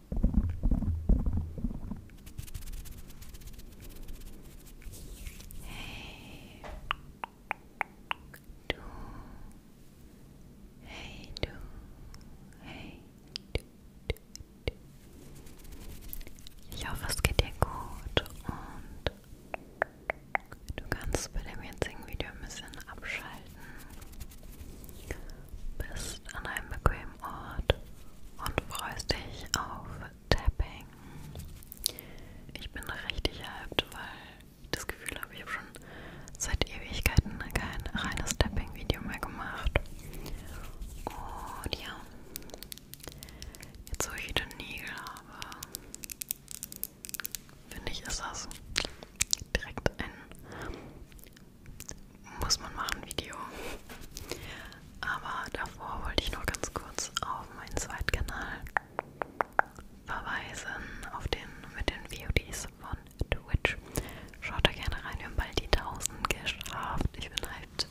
Hey du, hey du, hey du, du, du. Ich hoffe, es geht dir gut und du kannst bei dem jetzigen Video ein bisschen abschalten. Bist an einem bequemen Ort, und freust dich auf Tapping. Ich bin richtig hyped, weil ich das Gefühl habe, ich habe schon seit Ewigkeiten kein reines Tapping-Video mehr gemacht. Und ja, jetzt wo ich wieder Nägel habe, finde ich, ist das direkt ein muss man machen, Video. Aber davor wollte ich noch ganz kurz auf meinen Zweitkanal verweisen, auf den mit den VODs von Twitch. Schaut da gerne rein, wir haben bald die 1000 geschafft. Ich bin hyped.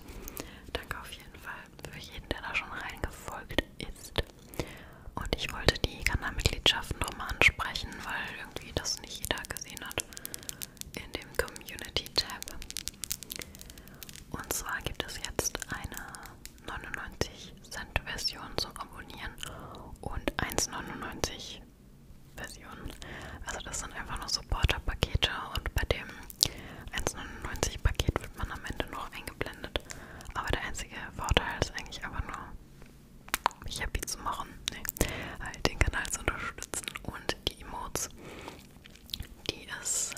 Danke auf jeden Fall für jeden, der da schon reingefolgt ist. Und ich wollte die Kanalmitgliedschaften nochmal ansprechen, weil irgendwie das nicht jeder gesehen hat in dem Community-Tab. Und zwar gibt es jetzt eine 99 Cent Version zum Abonnieren und 1,99 Version. Also das sind einfach nur Supporter-Pakete und bei dem 1,99 Paket wird man am Ende noch eingeblendet. Aber der einzige Vorteil ist eigentlich einfach nur, mich happy zu machen, nee, halt den Kanal zu unterstützen und die Emotes. Die ist,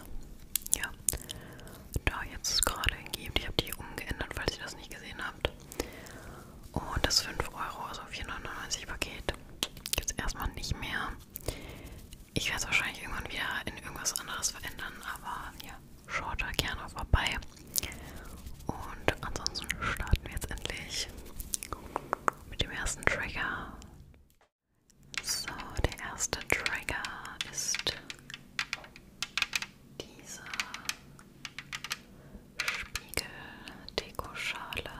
ja, da jetzt gerade hingegeben. Ich habe die umgeändert, falls ihr das nicht gesehen habt. Und das 5 Euro, also 4,99 Paket, gibt es erstmal nicht mehr. Ich werde es wahrscheinlich irgendwann wieder in irgendwas anderes verändern, aber ja, schaut da gerne vorbei. Und ansonsten starten wir jetzt endlich mit dem ersten Trigger. So, der erste Trigger ist diese Spiegel-Dekoschale.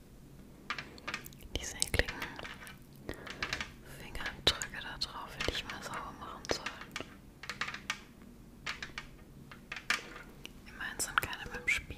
Diese ekligen Fingerabdrücke da drauf hätte ich mal sauber machen sollen. Immerhin sind keine beim Spiegel.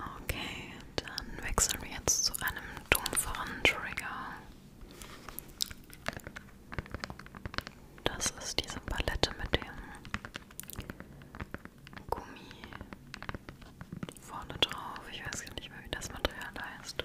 Okay, dann wechseln wir jetzt zu einem dumpferen Trigger. Das ist diese Palette mit dem Gummi vorne drauf. Ich weiß gar nicht mehr, wie das Material heißt.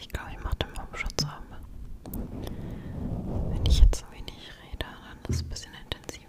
Ich glaube, ich mache den Baumschutz ab. Wenn ich jetzt so wenig rede, dann ist es ein bisschen intensiver.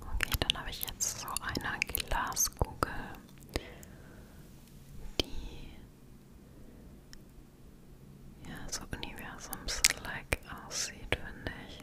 Okay, dann habe ich jetzt so eine Glaskugel, die ja so universums-like aussieht, finde ich.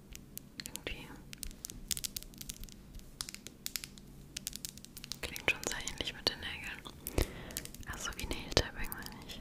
Irgendwie klingt schon sehr ähnlich mit den Nägeln. Also wie Nail Tapping meine ich.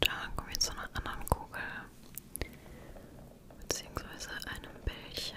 Da kommen wir zu einer anderen Kugel, beziehungsweise einem Bällchen.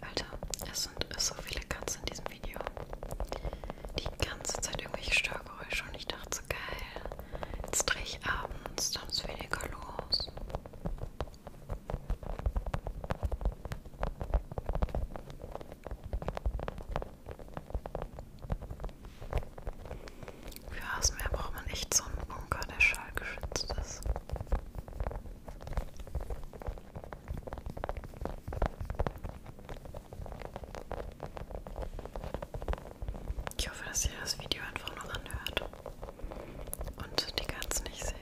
Alter, es sind so viele Katzen in diesem Video. Die ganze Zeit irgendwelche Störgeräusche und ich dachte so geil. Jetzt drehe ich abends, dann ist weniger los. Für Hasenmeer braucht man echt so einen Bunker, der schallgeschützt ist. Ich hoffe, dass ihr das Video einfach noch anhört und die Katze nicht seht.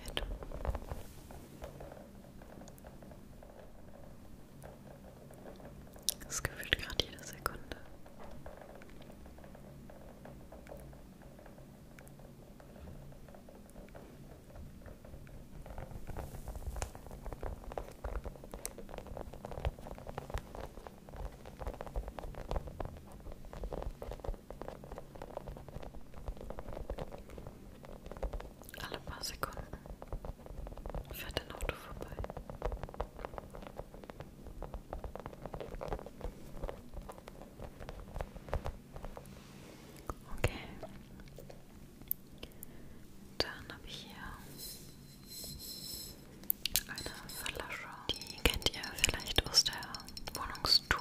Das gefühlt gerade jede Sekunde. Alle paar Sekunden fährt ein Auto vorbei. Okay. Dann habe ich hier eine Flasche. Die kennt ihr vielleicht aus der Wohnungstour.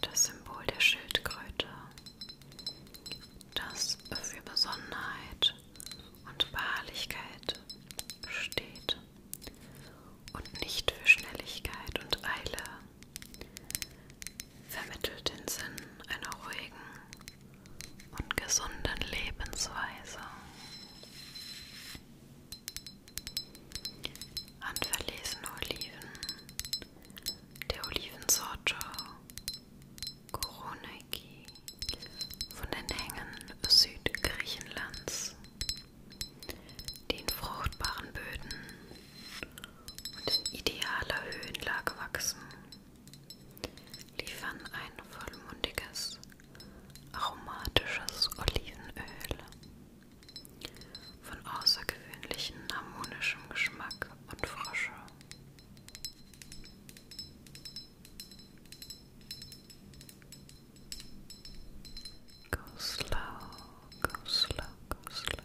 Das Symbol der Schildkröte, das für Besonnenheit und Beharrlichkeit steht und nicht für Schnelligkeit und Eile, vermittelt den Sinn einer ruhigen, und gesunden Lebensweise. Handverlesene Oliven der Olivensorte Koroneki von den Hängen Südgriechenlands, die in fruchtbaren Böden und in idealer Höhenlage wachsen, liefern ein vollmundiges aromatisches Olivenöl von außergewöhnlichem harmonischem Geschmack und Frische. Go slow, go slow, go slow.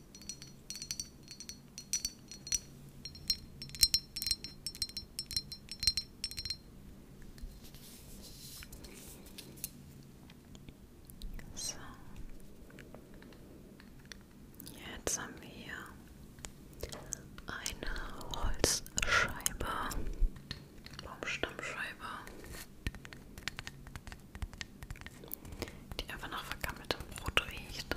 So. Jetzt haben wir hier eine Holzscheibe, Baumstammscheibe die einfach nach vergammeltem Brot riecht.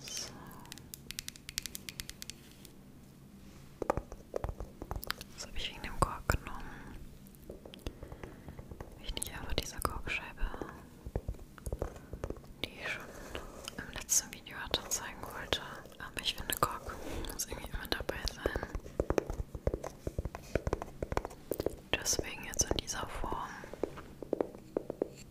So. Das habe ich wegen dem Kork genommen. Ich nicht einfach diese Korkscheibe, die ich schon im letzten Video hatte, zeigen wollte. Aber ich finde, Kork muss irgendwie immer dabei sein. Deswegen jetzt in dieser Form.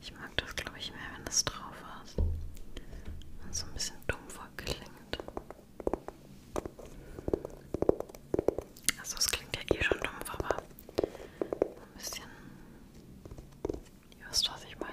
Ich mag das, glaube ich, mehr, wenn das drauf ist. Und so ein bisschen dumpfer klingt. Also es klingt ja eh schon dumpf, aber ein bisschen... Ihr wisst, was ich meine.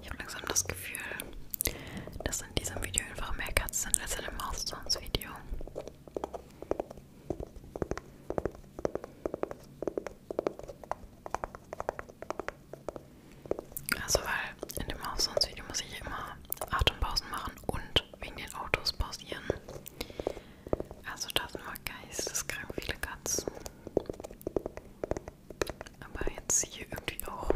Ich habe langsam das Gefühl, dass in diesem Video einfach mehr Katzen sind als in dem Mouthstones-Video. Also weil in dem Mouthstones-Video muss ich immer Atempausen machen und wegen den Autos pausieren. Also das sind mal geisteskrank viele Katzen. Aber jetzt hier irgendwie auch.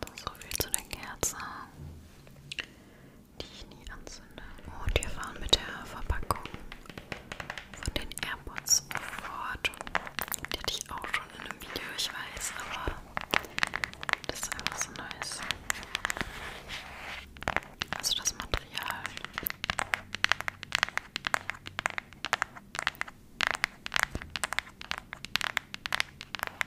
So viel zu der Kerze, die ich nie anzünde. Und wir fahren mit der Verpackung von den AirPods fort. Die hatte ich auch schon in einem Video, ich weiß, aber das ist einfach so nice. Also das Material.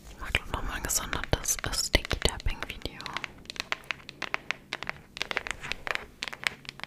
Ich mache noch mal ein gesondertes Sticky Tapping Video.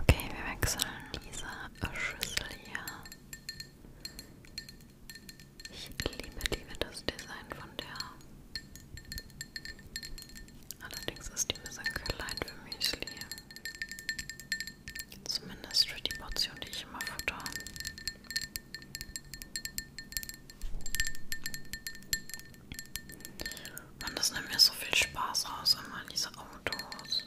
Okay, wir wechseln diese Schüssel hier. Ich liebe, liebe das Design von der. Allerdings ist die ein bisschen klein für Müsli. Zumindest für die Portion, die ich immer futter. Mann, das nimmt mir so viel Spaß aus, immer diese Autos.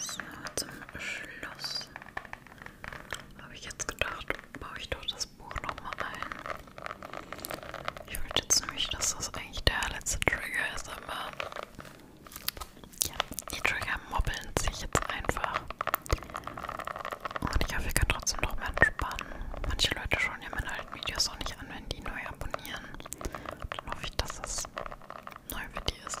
So, zum Schluss habe ich jetzt gedacht, baue ich doch das Buch nochmal ein. Ich wollte jetzt nämlich, dass das eigentlich der letzte Trigger ist, aber ja, die Trigger mobbeln sich jetzt einfach. Und ich hoffe, ihr könnt trotzdem noch mal entspannen. Manche Leute schauen ja meine alten Videos auch nicht an, wenn die neu abonnieren. Dann hoffe ich, dass es neu für die ist.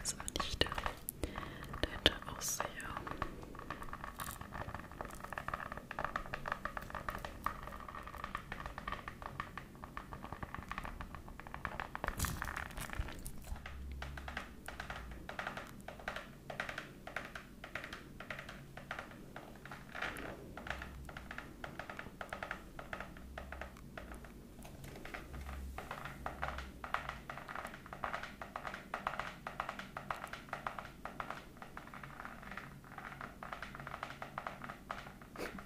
Das war nicht der, der Ausseher.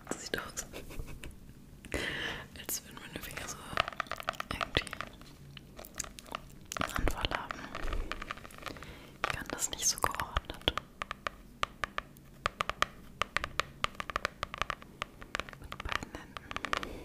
Das sieht aus, als würden meine Finger so irgendwie und voilà. Ich kann das nicht so geordnet. Mit beiden Händen.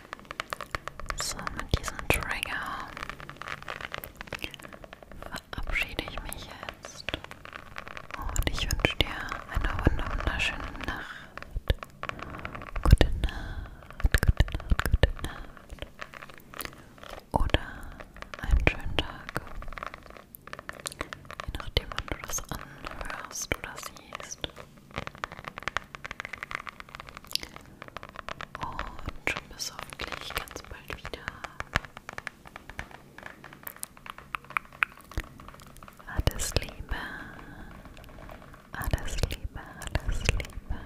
So, mit diesem Trigger verabschiede ich mich jetzt. Und ich wünsche dir eine wunderschöne Nacht. Gute Nacht, gute Nacht, gute Nacht. Oder einen schönen Tag. Je nachdem, wann du das anhörst oder siehst. Und schon bis hoffentlich ganz bald wieder. Alles Liebe, alles Liebe, alles Liebe.